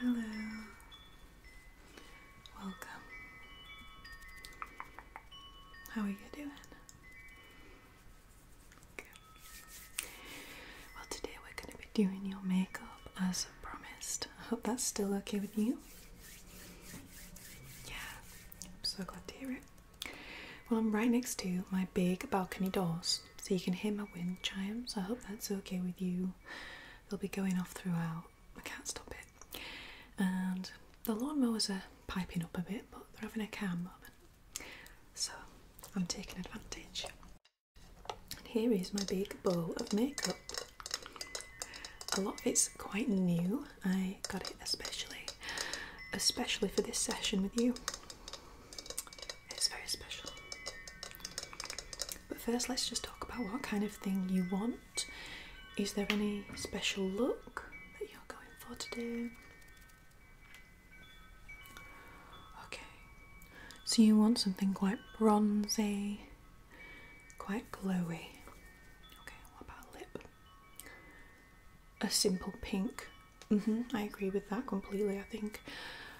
Hello, welcome. How are you doing? Good. Well, today we're going to be doing your makeup as promised. I hope that's still okay with you. Yeah, I'm so glad to hear it. Well, I'm right next to my big balcony doors so you can hear my wind chimes. I hope that's okay with you. They'll be going off throughout. I can't stop it. And the lawnmowers are piping up a bit, but they're having a calm moment. So I'm taking advantage. And here is my big bowl of makeup. A lot of it's quite new. I got it especially, especially for this session with you. It's very special. But first, let's just talk about what kind of thing you want. Is there any special look that you're going for today? Okay, so you want something quite bronzy, quite glowy. Okay, what about lip? A simple pink. -hmm, I agree with that completely. I think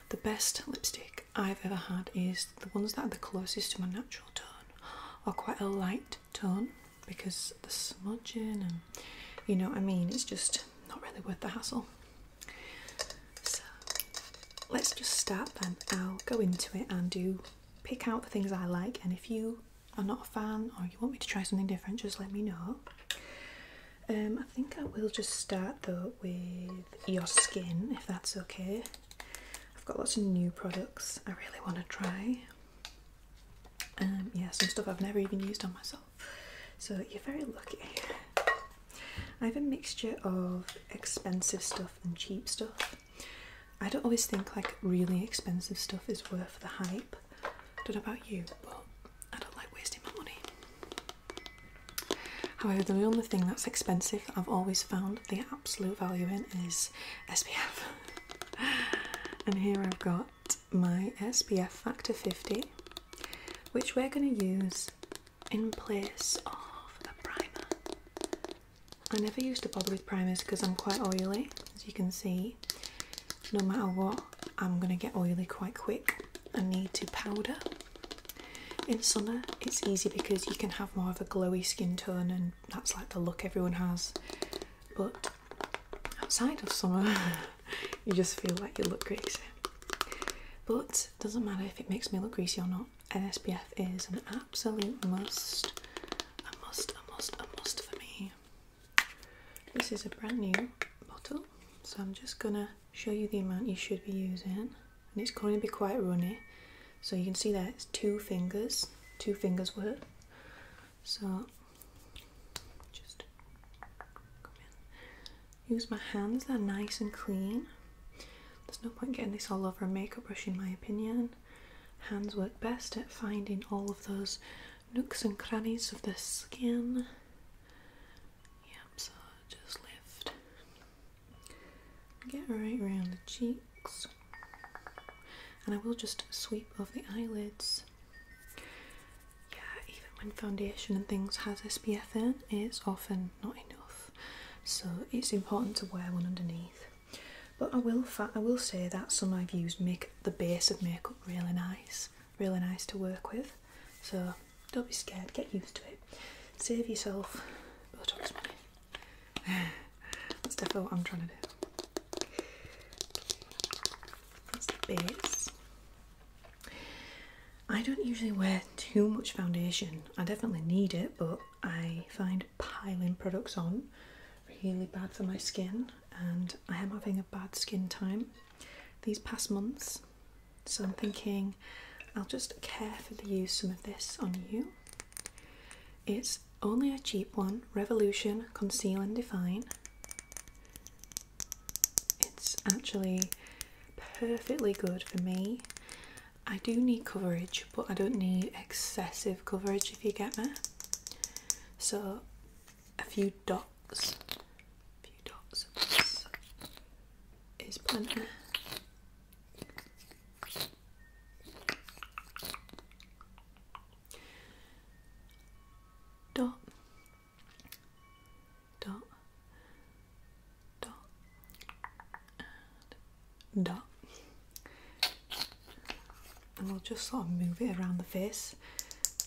the best lipstick I've ever had is the ones that are the closest to my natural tone or quite a light tone because the smudging and you know what I mean, it's just not really worth the hassle. So let's just start then. I'll go into it and do pick out the things I like and if you are not a fan or you want me to try something different, just let me know. Um, I think I will just start though with your skin, if that's okay. I've got lots of new products I really want to try. Um, yeah, some stuff I've never even used on myself. So you're very lucky. I have a mixture of expensive stuff and cheap stuff. I don't always think like really expensive stuff is worth the hype. I don't know about you, but I don't like wasting my money. However, the only thing that's expensive I've always found the absolute value in is SPF. and here I've got my SPF Factor 50, which we're going to use in place of a primer. I never used to bother with primers because I'm quite oily, as you can see. No matter what, I'm going to get oily quite quick. I need to powder in summer, it's easy because you can have more of a glowy skin tone, and that's like the look everyone has. But outside of summer, you just feel like you look greasy. But doesn't matter if it makes me look greasy or not. An SPF is an absolute must, a must, a must, a must for me. This is a brand new bottle, so I'm just gonna show you the amount you should be using, and it's going to be quite runny. So you can see that it's two fingers, two fingers worth. So just Use my hands, they're nice and clean. There's no point getting this all over a makeup brush, in my opinion. Hands work best at finding all of those nooks and crannies of the skin yeah, so just lift. Get right round the cheeks. And I will just sweep off the eyelids. Yeah, even when foundation and things has SPF in, it's often not enough. So it's important to wear one underneath. But I will I will say that some I've used make the base of makeup really nice, really nice to work with. So don't be scared, get used to it. Save yourself That's definitely what I'm trying to do. That's the base. I don't usually wear too much foundation. I definitely need it, but I find piling products on really bad for my skin and I am having a bad skin time these past months. So I'm thinking I'll just carefully use some of this on you. It's only a cheap one, Revolution Conceal and Define. It's actually perfectly good for me. I do need coverage, but I don't need excessive coverage if you get me. So a few dots few dots is plenty. Dot, dot, dot, and dot. And we'll just sort of move it around the face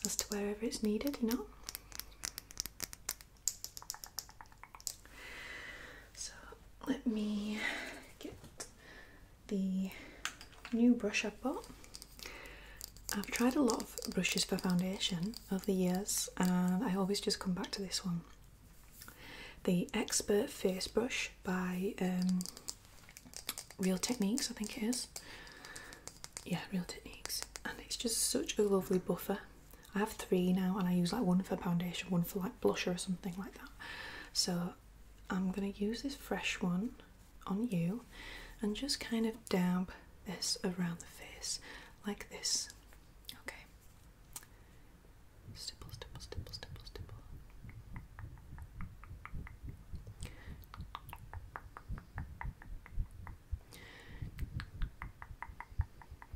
as to wherever it's needed, you know? So let me get the new brush I bought. I've tried a lot of brushes for foundation over the years and I always just come back to this one. The Expert Face Brush by um, Real Techniques, I think it is. Yeah, Real Techniques. And it's just such a lovely buffer. I have three now, and I use like one for foundation, one for like blusher or something like that. So I'm gonna use this fresh one on you, and just kind of dab this around the face like this. Okay.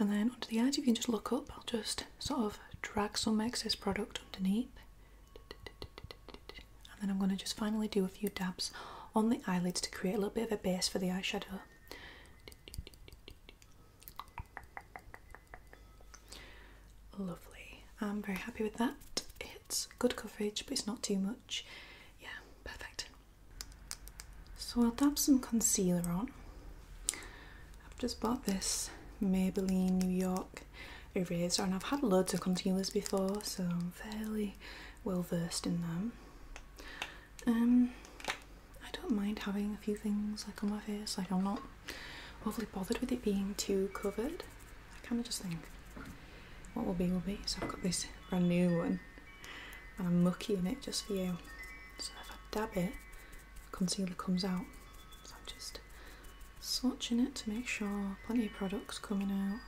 and then onto the eyes, if you can just look up, I'll just sort of drag some excess product underneath. And then I'm going to just finally do a few dabs on the eyelids to create a little bit of a base for the eyeshadow. Lovely. I'm very happy with that. It's good coverage, but it's not too much. Yeah, perfect. So I'll dab some concealer on. I've just bought this Maybelline New York eraser and I've had loads of concealers before so I'm fairly well versed in them. Um, I don't mind having a few things like on my face, like I'm not overly bothered with it being too covered. I kind of just think what will be will be. So I've got this brand new one and I'm in it just for you. So if I dab it, the concealer comes out. So I'm just swatching it to make sure plenty of product's coming out.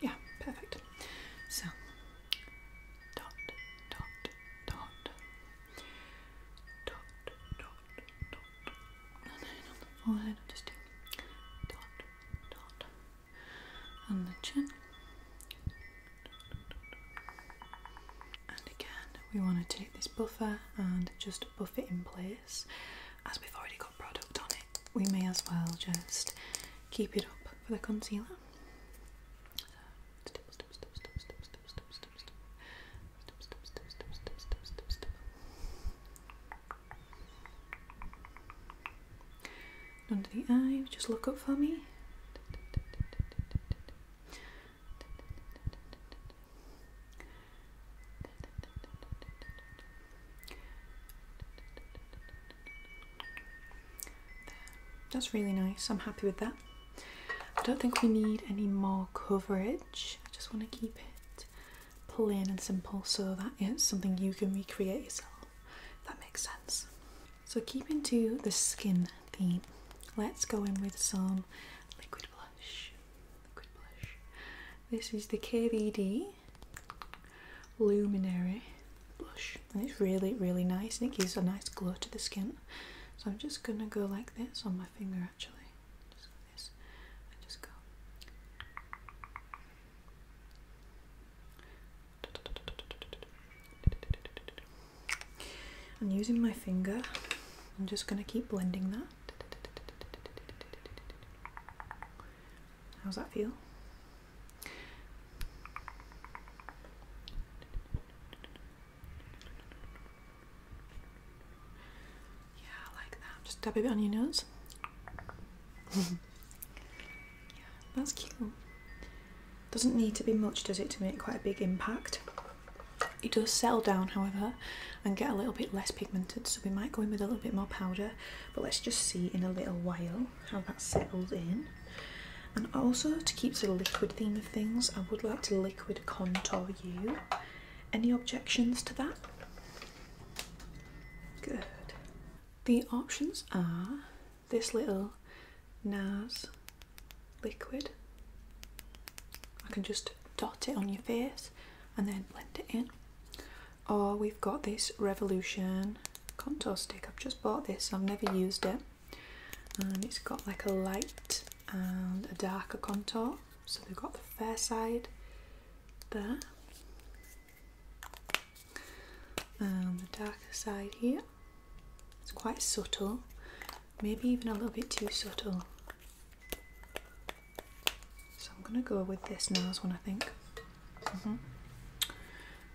Yeah, perfect. So dot dot dot dot dot dot and then on the forehead I'll just do dot dot the chin. And again, we want to take this buffer and just buff it in place. As we've already got product on it, we may as well just keep it up for the concealer. Under the eye, just look up for me. That's really nice. I'm happy with that. I don't think we need any more coverage. I just want to keep it plain and simple so that it's something you can recreate yourself. That makes sense. So, keeping to the skin theme, let's go in with some liquid blush. Liquid blush. This is the KVD Luminary blush, and it's really, really nice, and it gives a nice glow to the skin. So, I'm just gonna go like this on my finger actually right? Just and using my finger, I'm just going to keep blending that. How's that feel? Yeah, like that. Just dab it on your nose. yeah, that's cute. Doesn't need to be much, does it, to make quite a big impact? It does settle down, however, and get a little bit less pigmented, so we might go in with a little bit more powder, but let's just see in a little while how that settles in. And also, to keep to the liquid theme of things, I would like to liquid contour you. Any objections to that? Good. The options are this little NARS liquid. I can just dot it on your face and then blend it in. Or we've got this Revolution contour stick. I've just bought this, I've never used it. And it's got like a light and a darker contour. So we have got the fair side there and um, the darker side here it's quite subtle maybe even a little bit too subtle so I'm gonna go with this nose one I think mm-hmm.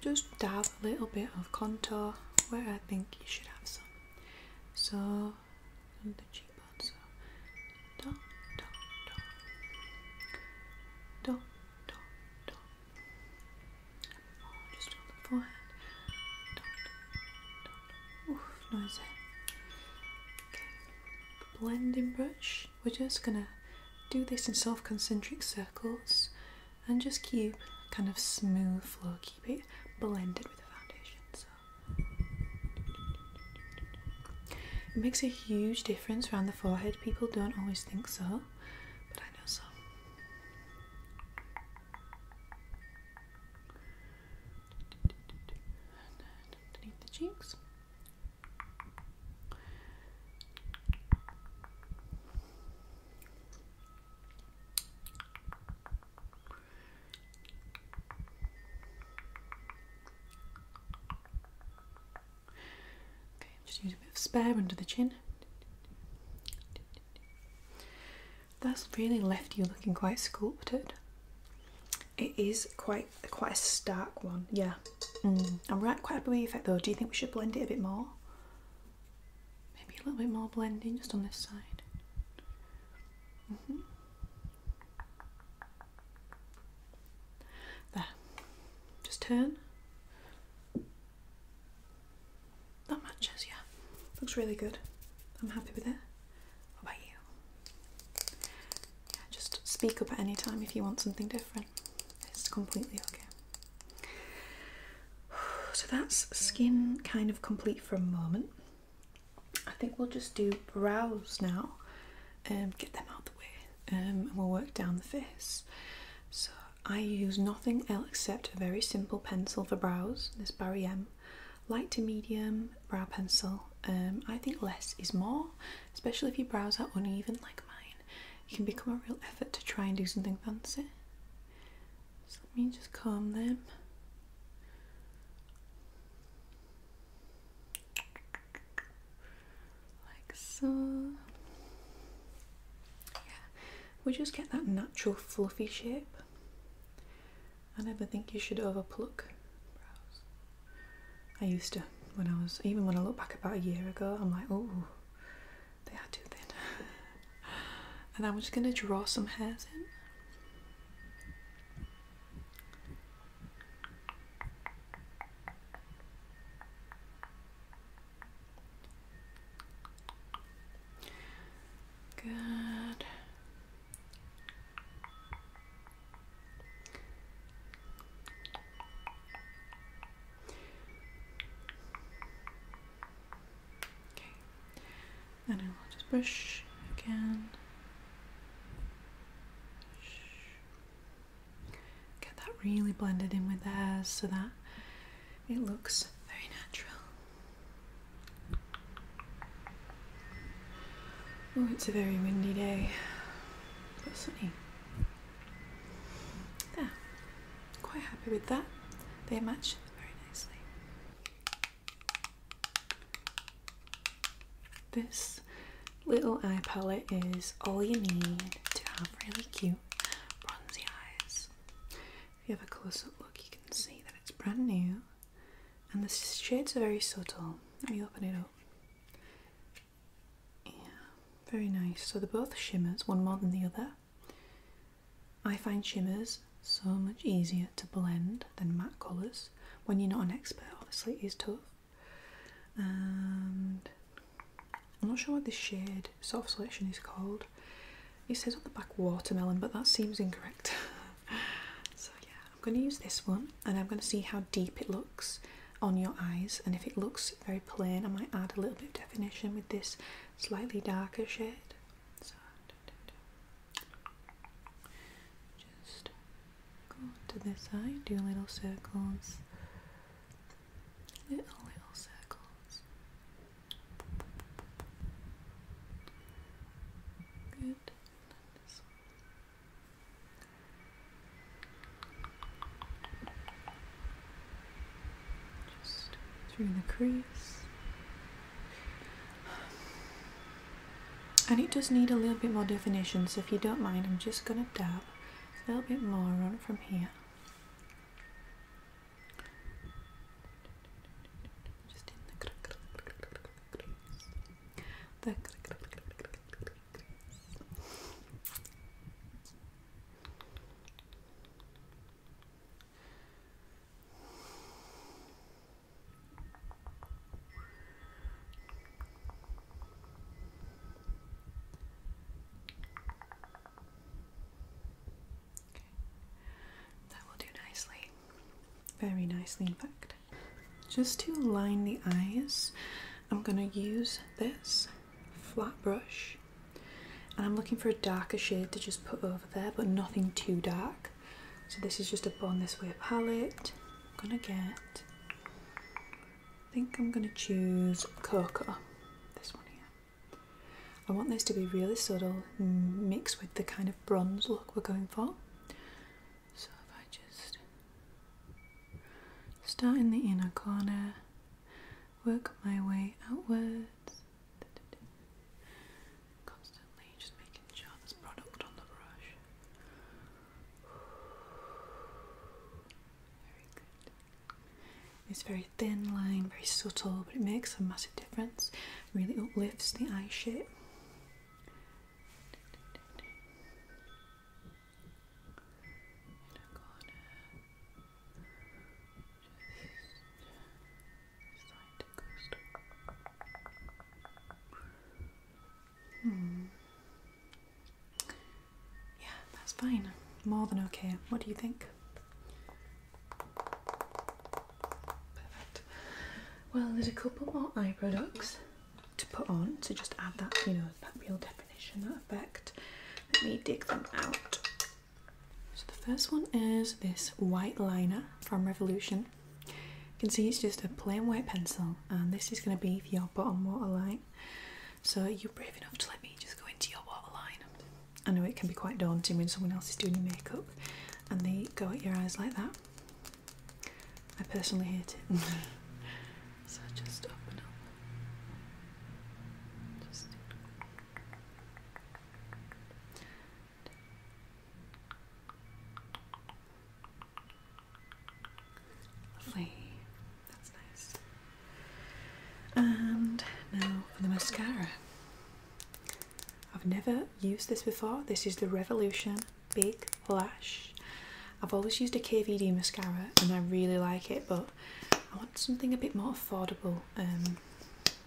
just dab a little bit of contour where I think you should have some so the cheekbone Oh, just on the forehead. Oof, noisy. Eh? Okay. Blending brush. We're just gonna do this in soft concentric circles and just keep kind of smooth flow, keep it blended with the foundation. So it makes a huge difference around the forehead. People don't always think so, but I know so. Underneath the cheeks. Okay, just use a bit of spare under the chin. That's really left you looking quite sculpted. It is quite quite a stark one, yeah. Mm. I'm right quite happy with the though. Do you think we should blend it a bit more? Maybe a little bit more blending just on this side. Mm-hmm. There. Just turn. That matches, yeah. Looks really good. I'm happy with it. What about you? Yeah, just speak up at any time if you want something different. It's completely okay. So that's skin kind of complete for a moment. I think we'll just do brows now and get them out the way um, and we'll work down the face. So I use nothing else except a very simple pencil for brows, this Barry M light to medium brow pencil. Um, I think less is more, especially if your brows are uneven like mine. It can become a real effort to try and do something fancy. So let me just comb them like so. Yeah, we just get that natural fluffy shape. I never think you should over pluck I used to when I was even when I look back about a year ago, I'm like, oh, they are too thin. and I'm just gonna draw some hairs in. Good. Okay. Then I will just brush again. Brush. Get that really blended in with theirs so that it looks very natural. Oh, it's a very windy day, but sunny. Yeah, quite happy with that. They match very nicely. This little eye palette is all you need to have really cute bronzy eyes. If you have a close up look, you can see that it's brand new and the shades are very subtle. Let me open it up. Yeah, very nice. So they're both shimmers, one more than the other. I find shimmers so much easier to blend than matte colours when you're not an expert. Obviously, it is tough and I'm not sure what this shade soft selection is called. It says on the back watermelon, but that seems incorrect. so yeah, I'm going to use this one, and I'm going to see how deep it looks on your eyes. And if it looks very plain, I might add a little bit of definition with this slightly darker shade. just Go to this side, do little circles. Little, little circles. Good. Just through the crease and it does need a little bit more definition so if you don't mind I'm just going to dab a little bit more on from here that will do nicely. Very nicely, in fact. Just to line the eyes, I'm going to use this flat brush and I'm looking for a darker shade to just put over there, but nothing too dark. So, this is just a Bond This Way palette. I'm gonna get, I think I'm gonna choose cocoa, this one here. I want this to be really subtle, mixed with the kind of bronze look we're going for. So if I just start in the inner corner, work my way outwards, constantly just making sure there's product on the brush. Very good. It's very thin line, very subtle, but it makes a massive difference. Really uplifts the eye shape. Hmm. Yeah, that's fine. More than okay. What do you think? Perfect. Well, there's a couple more eye products to put on to just add that, you know, that real definition, that effect. Let me dig them out. So the first one is this white liner from Revolution. You can see it's just a plain white pencil, and this is going to be for your bottom waterline. So, you're brave enough to let me just go into your waterline. I know it can be quite daunting when someone else is doing your makeup and they go at your eyes like that. I personally hate it. so, just open up. Just Lovely. That's nice. And now for the mascara. I've never used this before. This is the Revolution Big Lash. I've always used a KVD mascara and I really like it, but I want something a bit more affordable um,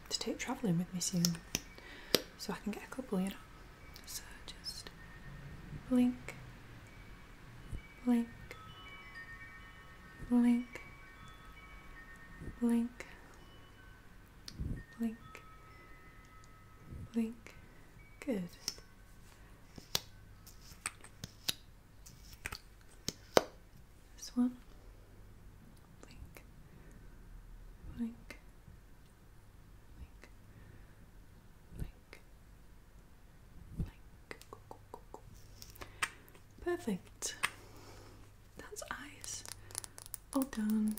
to take travelling with me soon so I can get a couple, you know. So just blink, blink, blink, blink, blink, blink. Good. This one. Blink, blink, Perfect. That's eyes all done.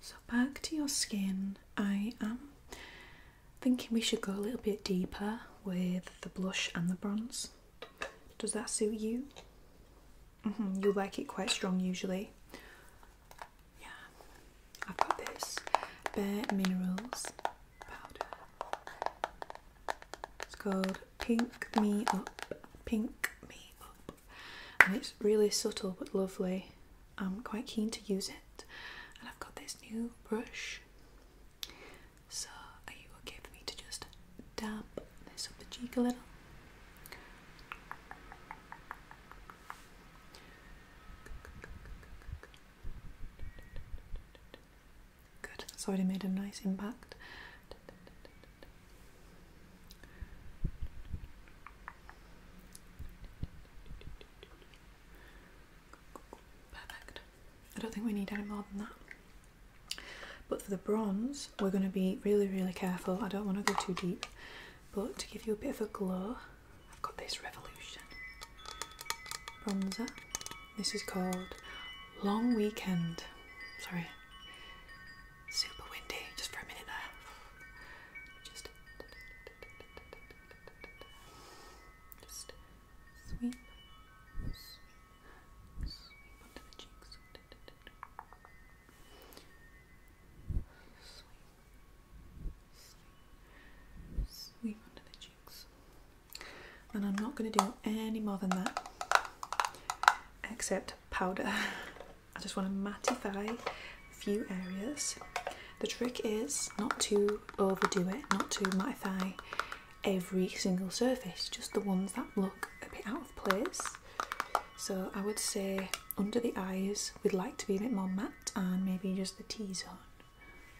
So back to your skin. I am thinking we should go a little bit deeper with the blush and the bronze. Does that suit you? Mm-hmm. you like it quite strong usually. Yeah, I've got this Bare Minerals powder. It's called Pink Me Up. Pink Me Up. And it's really subtle but lovely. I'm quite keen to use it. And I've got this new brush. So, are you okay for me to just dab this up the cheek a little? Good, that's already made a nice impact. Perfect. I don't think we need any more than that. But for the bronze, we're going to be really, really careful. I don't want to go too deep but to give you a bit of a glow, I've got this Revolution bronzer. This is called Long Weekend. Sorry, super windy just for a minute there. Just, just sweep, sweep onto the cheeks. Sweep. And I'm not going to do any more than that except powder. I just want to mattify a few areas. The trick is not to overdo it, not to mattify every single surface, just the ones that look a bit out of place. So I would say under the eyes, we'd like to be a bit more matte and maybe just the T zone.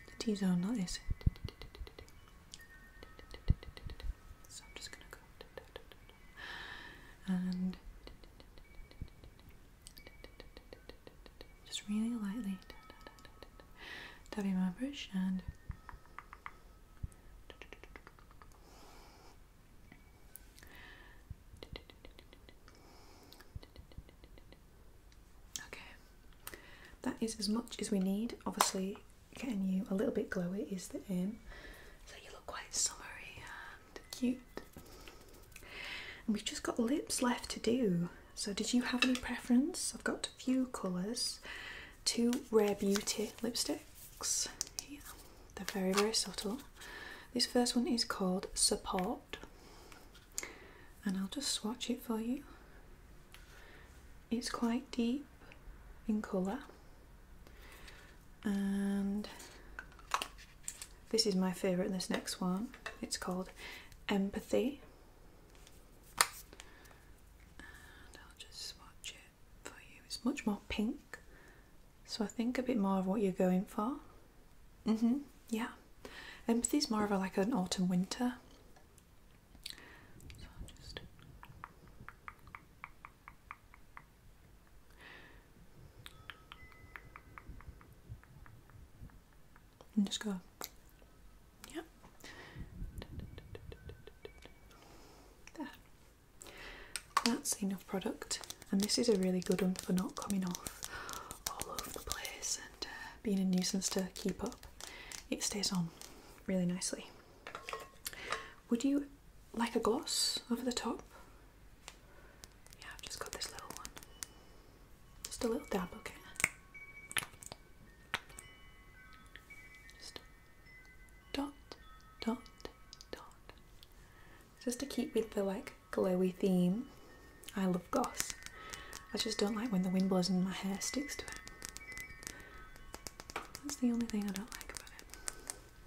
The T zone, that is. So I'm just gonna go. And. Just really lightly tapping my brush and Okay, that is as much as we need. Obviously, getting you a little bit glowy is the aim. So you look quite summery and cute. And we've just got lips left to do. So did you have any preference? I've got a few colours. Two Rare Beauty lipsticks. Yeah. They're very, very subtle. This first one is called Support, and I'll just swatch it for you. It's quite deep in colour, and this is my favourite. This next one, it's called Empathy. And I'll just swatch it for you. It's much more pink, so I think a bit more of what you're going for. Mm-hmm. Yeah. Empathy is more of a, like an autumn winter. So just... just go. Yeah. There. That's enough product, and this is a really good one for not coming off all over the place and uh, being a nuisance to keep up. It stays on really nicely. Would you like a gloss over the top? Yeah, I've just got this little one. Just a little dab, okay? Just dot, dot, dot. Just to keep with the like glowy theme. I love goss. I just don't like when the wind blows and my hair sticks to it. That's the only thing I don't like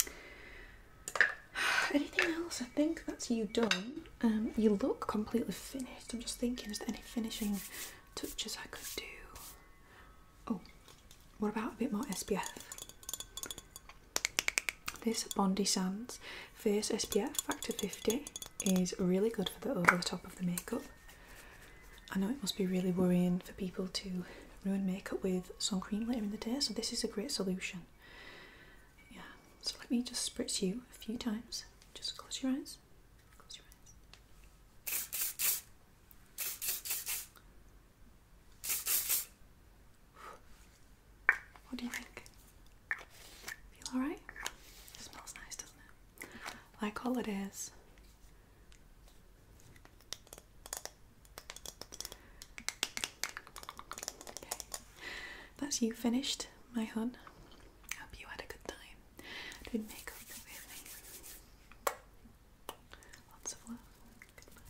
about it. Anything else? I think that's you done. Um, you look completely finished. I'm just thinking, is there any finishing touches I could do? Oh, what about a bit more SPF? This Bondi Sands Face SPF Factor 50 is really good for the over the top of the makeup. I know it must be really worrying for people to ruin makeup with sun cream later in the day, so this is a great solution. Yeah, so let me just spritz you a few times. Just close your eyes. Close your eyes. What do you think? Feel alright? smells nice, doesn't it? Like holidays. Okay. That's you finished, my hun. Hope you had a good time. Doing makeup with me. Lots of love. Goodbye.